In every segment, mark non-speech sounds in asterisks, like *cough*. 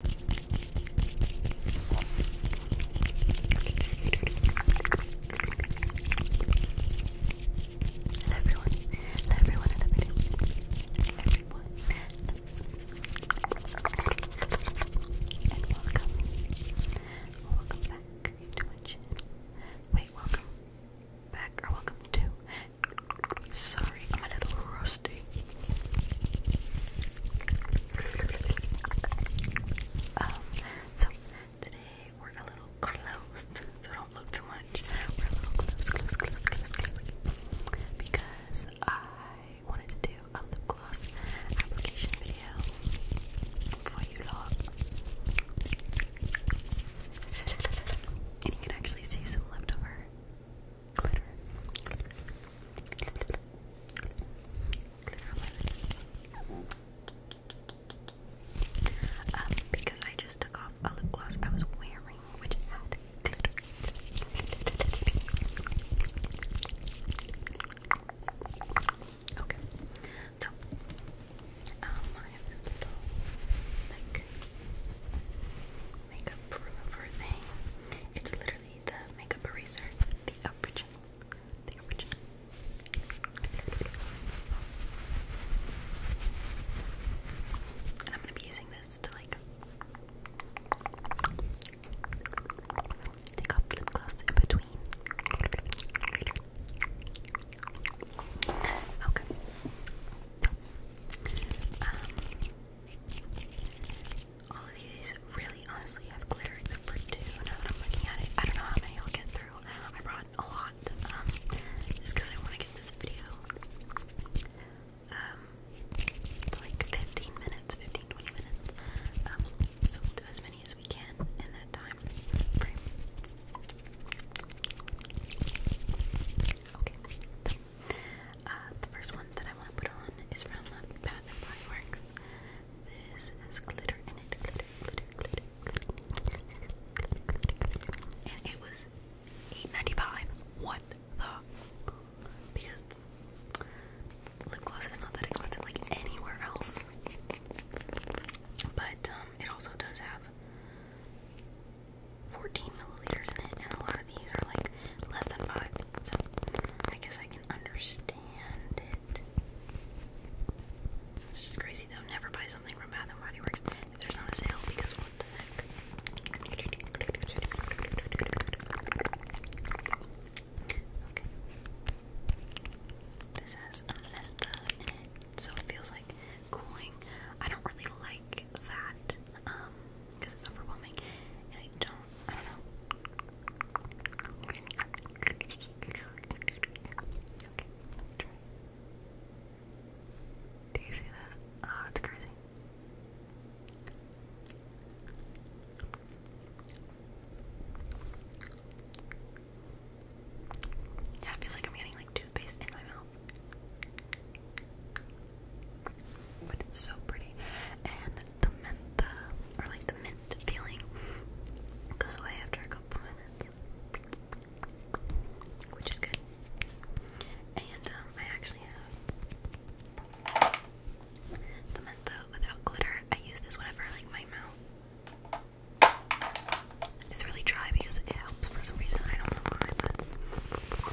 Hello everyone. everyone. Hello everyone. Hello everyone. welcome. Welcome back to my channel. Wait, welcome back or welcome to. Sorry, I'm a little rusty. Um, so today we're a little closed, so don't look too much. We're a little close, close, close, close, close. Because I wanted to do a lip gloss application video for you lot. And you can actually see some leftover glitter, um, because I just took off a lip gloss I was wearing, which had glitter. Okay, so um, I have this little like makeup remover thing. It's literally the makeup eraser, the original, the original. And I'm gonna be using this to like take off lip gloss in between. Okay. Um, all of these really honestly have glitter except for two now I'm looking at it. I don't know how many I'll get through. I brought a lot um, just because I want to get this video um, like 15 minutes, 15 20 minutes. Um, so we'll do as many as we can in that time Okay, uh, the first one that I want to put on is from Bath and Body Works. This has glitter in it, glitter, glitter, glitter, glitter, glitter, glitter, glitter, glitter. and it was $8.95. What the? Because lip gloss is not that expensive like anywhere else. But um, it also does have 14 milliliters in it, and a lot of these are like less than 5. So I guess I can understand it. It's just crazy though. Never buy something from Bath and Body Works if there's not a sale because what the heck? This has a in it, so it feels like cooling. I don't really like that. Um, because it's overwhelming, and I don't, I don't know. Do you see that? Ah, it's crazy. Yeah, it feels like I'm getting like but it's so pretty. And the mentha, uh, or like the mint feeling, goes away after a couple minutes. Which is good. And um, I actually have the mentha without glitter. I use this whenever like my mouth. It's really dry because it helps for some reason. I don't know why, but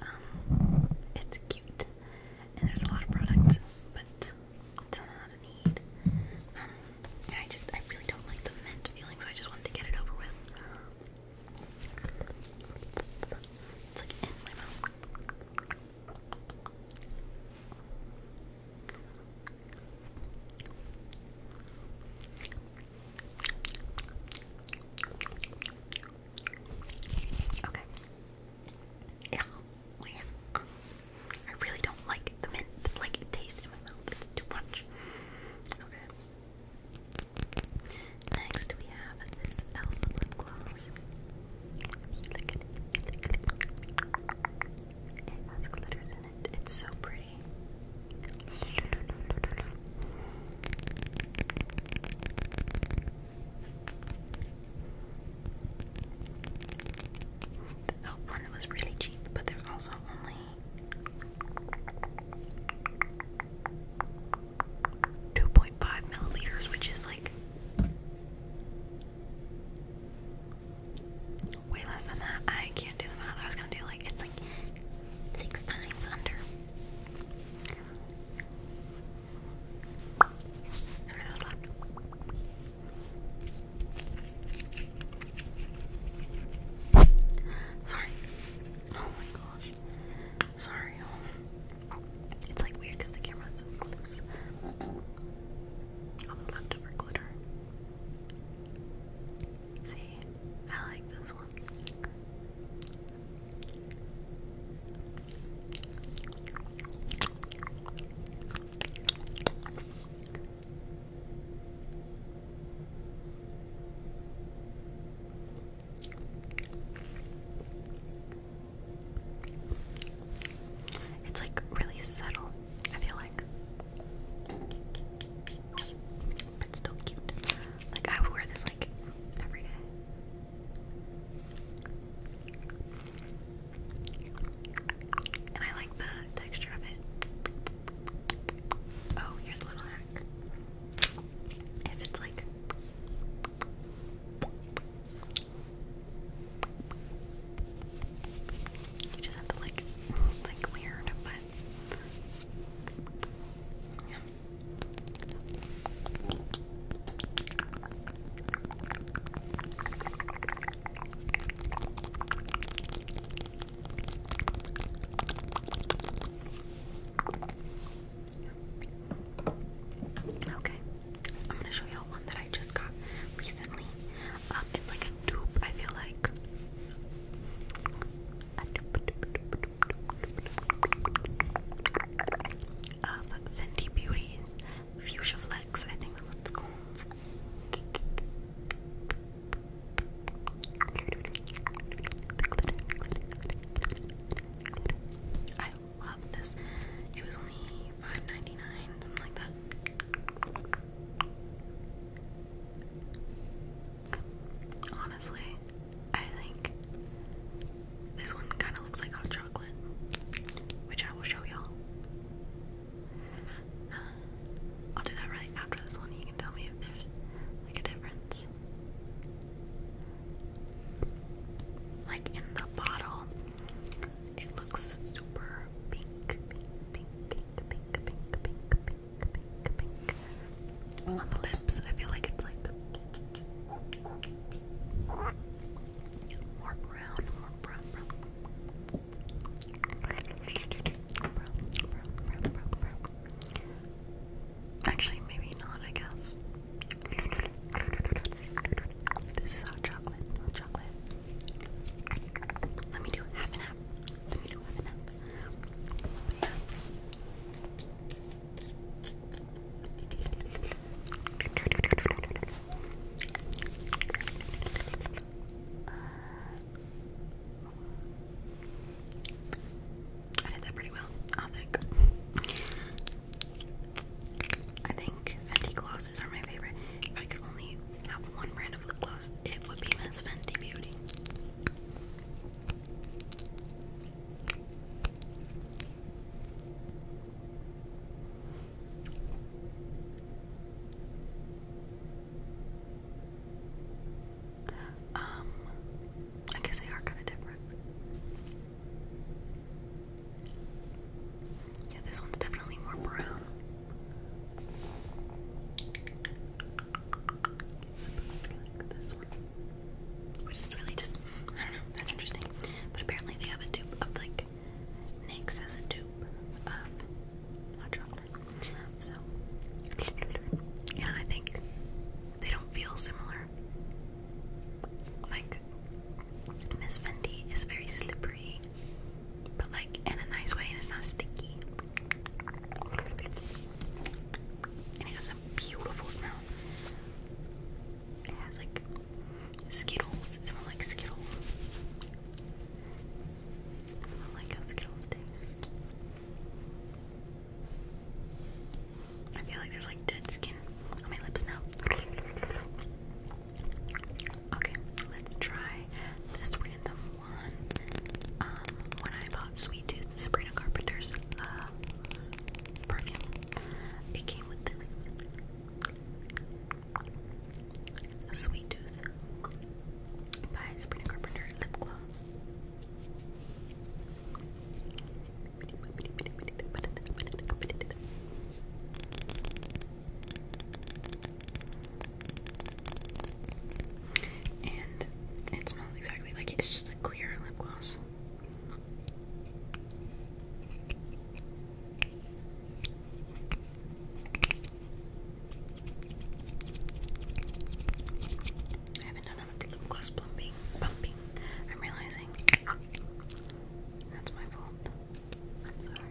Um, it's cute, and there's a lot of products, but it's not a need. Um, I just, I really don't like the mint feeling, so I just wanted to get it over with. It's like in my mouth. Okay. Yeah. I really don't like the mint, like it tastes in my mouth. It's too much. Okay. Next we have this Elf lip gloss. You look at it. It has glitters in it. It's so pretty. The elf one was really cheap, but there's also only two point five milliliters, which is like way less than that. I can't do the math. I was gonna do like it's like six times under. Sorry, that Oh my gosh. Sorry. It's like weird the camera's so loose. All the leftover glitter. See? I like this one. It's like really subtle, I feel like but still cute. Like I would wear this like every day. And I like the texture of it. Oh, here's a little hack. If it's like you just have to like like weird, but Okay, I'm gonna show y'all one that I just got recently. Um, it's like a dupe, I feel like of Fenty Beauty's Fuchsia Flex. I think that's called. I love this. It was only 5 something like that. Honestly, I think this one kind of looks like hot chocolate, which I will show y'all. Uh, I'll do that right after this one. You can tell me if there's like a difference. Like in the bottle, it looks super pink, pink, pink, pink, pink, pink, pink, pink, pink, pink. on the lips, I feel like it's like more brown, more brown, brown. Brown, brown, brown, brown, brown. Actually, maybe not, I guess. This is hot chocolate, hot chocolate. Let me do half and half nap. Let I did that pretty well, I think. I think Fenty glosses are my favorite. If I could only have one brand of lip gloss, it would be Miss Fenty Beauty. Um, I guess they are kind of different. Yeah, this one's definitely more brown like this one. really just, that's interesting. But apparently they have a dupe of like, NYX has a dupe of hot chocolate. So, yeah, I think they don't feel similar. Like, Miss Vendi is very slippery, but like in a nice way and it's not sticky. And it has a beautiful smell. It has like Skittles. It smells like Skittles. smells like how Skittles taste. I feel like there's like dead skin on my lips now. Okay, let's try this random um, when I bought Sweet Tooth Sabrina Carpenter's uh, perfume. It came with this Sweet Tooth by Sabrina Carpenter lip gloss. And it smells exactly like it's just a clear lip gloss. I haven't done enough lip gloss plumping, I'm realizing that's my fault. I'm sorry.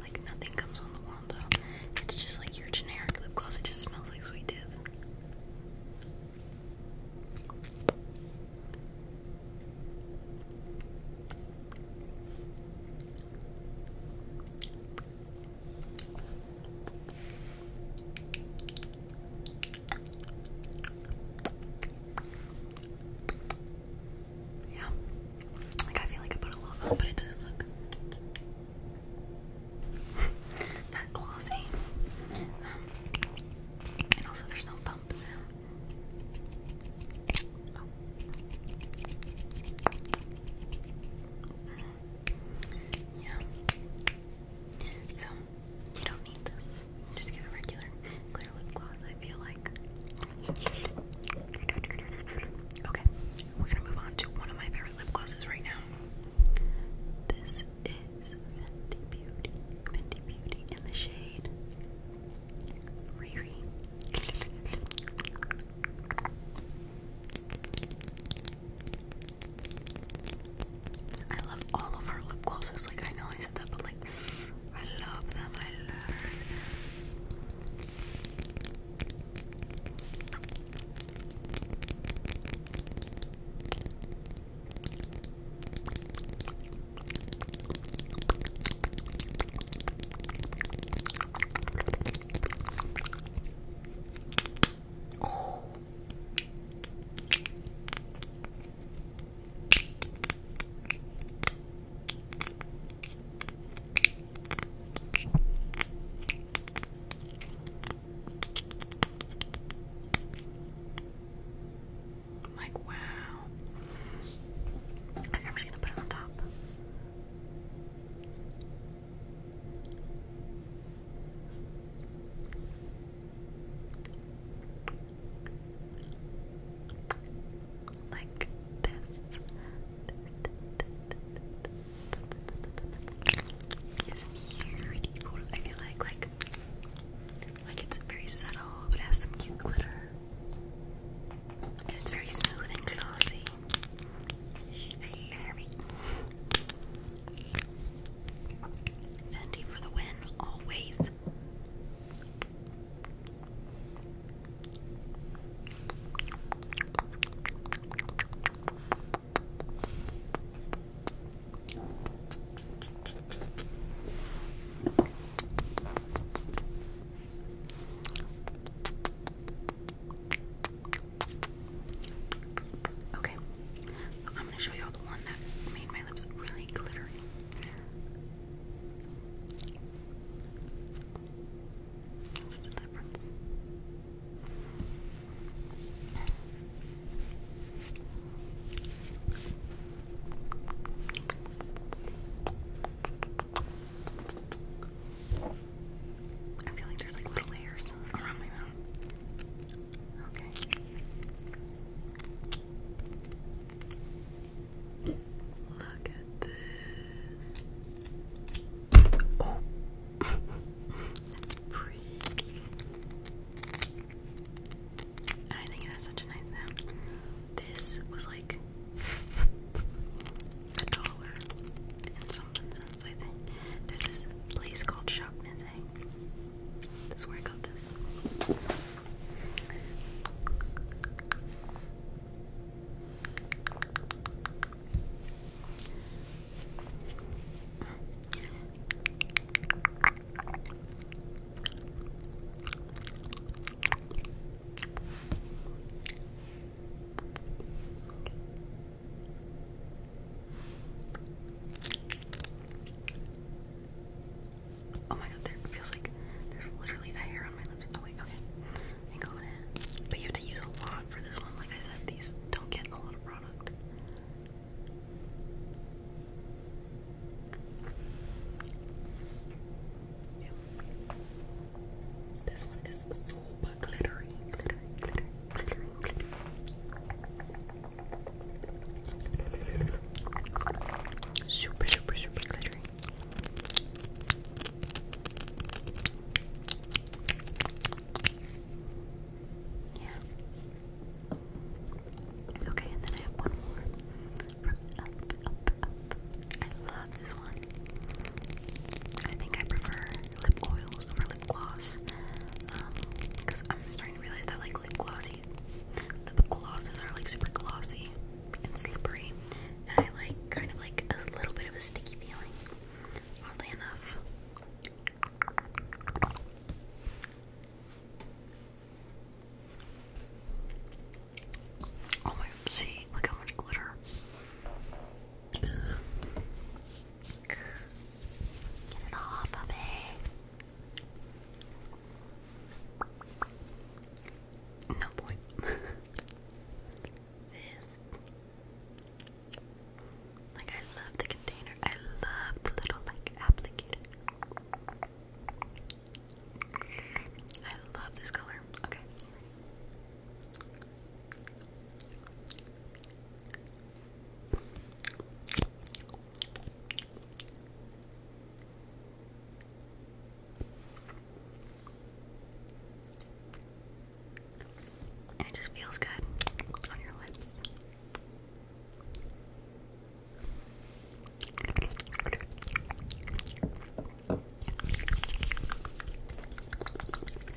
Like nothing comes on the wall though. It's just like your generic lip gloss. It just smells like sweet death. Yeah. Like I feel like I put a lot but it doesn't look *laughs* that glossy. Um, and also there's no bump Yeah. So you don't need this. Just get a regular clear lip gloss, I feel like. Okay, we're gonna move on to one of my favorite lip glosses right now. This is Fenty Beauty. Fenty Beauty in the shade Riri. I love all of her lip glosses. Like, I know I said that, but like, I love them. I love them. Like, wow. I'm just gonna put it on top. Like this. It's beautiful. I feel like like like it's very subtle, but has some cute glitter. And it's very smooth and glossy. I love it. Fendi for the win, always. Okay, I'm gonna show y'all the one that made my lips really glittery. What's the difference? I feel like there's like little layers around my mouth. Okay. Look at this. Oh, that's pretty. And I think it has such a nice sound. This was like a dollar and something cents, I think. There's this place called Shopman's saying. This is where I got this. Oh my god, there feels like there's literally a hair on my lips. Oh wait, okay. But you have to use a lot for this one. Like I said, these don't get a lot of product. This one is super glittery. Super, super, super glittery. Yeah. Okay, and then I have one more Up, Up, Up. I love this one. I think I prefer lip holding lip gloss. because um, I'm starting to realize that like lip glossy lip glosses are like super glossy and slippery. And I like kind of like a little bit of a sticky feeling. Oddly enough. Oh my, see, look how much glitter. Get it off of me. No point. *laughs* this. Like I love the container. I love the little like applicator. I love this color. Okay. And it just feels good on your lips. Well, thank you guys, thank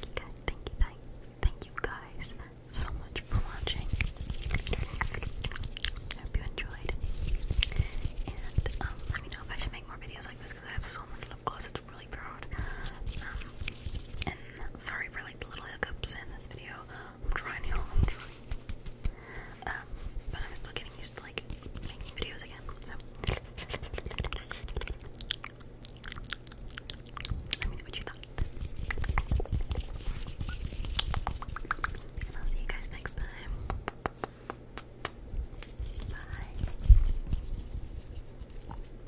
you, thank, thank you guys so much for watching. I hope you enjoyed. And um, let me know if I should make more videos like this because I have so much lip gloss really proud. Um, sorry for like the little hiccups in this video. I'm trying, y'all. Um, but I'm still getting used to like making videos again. So I'll see you guys next time. Bye.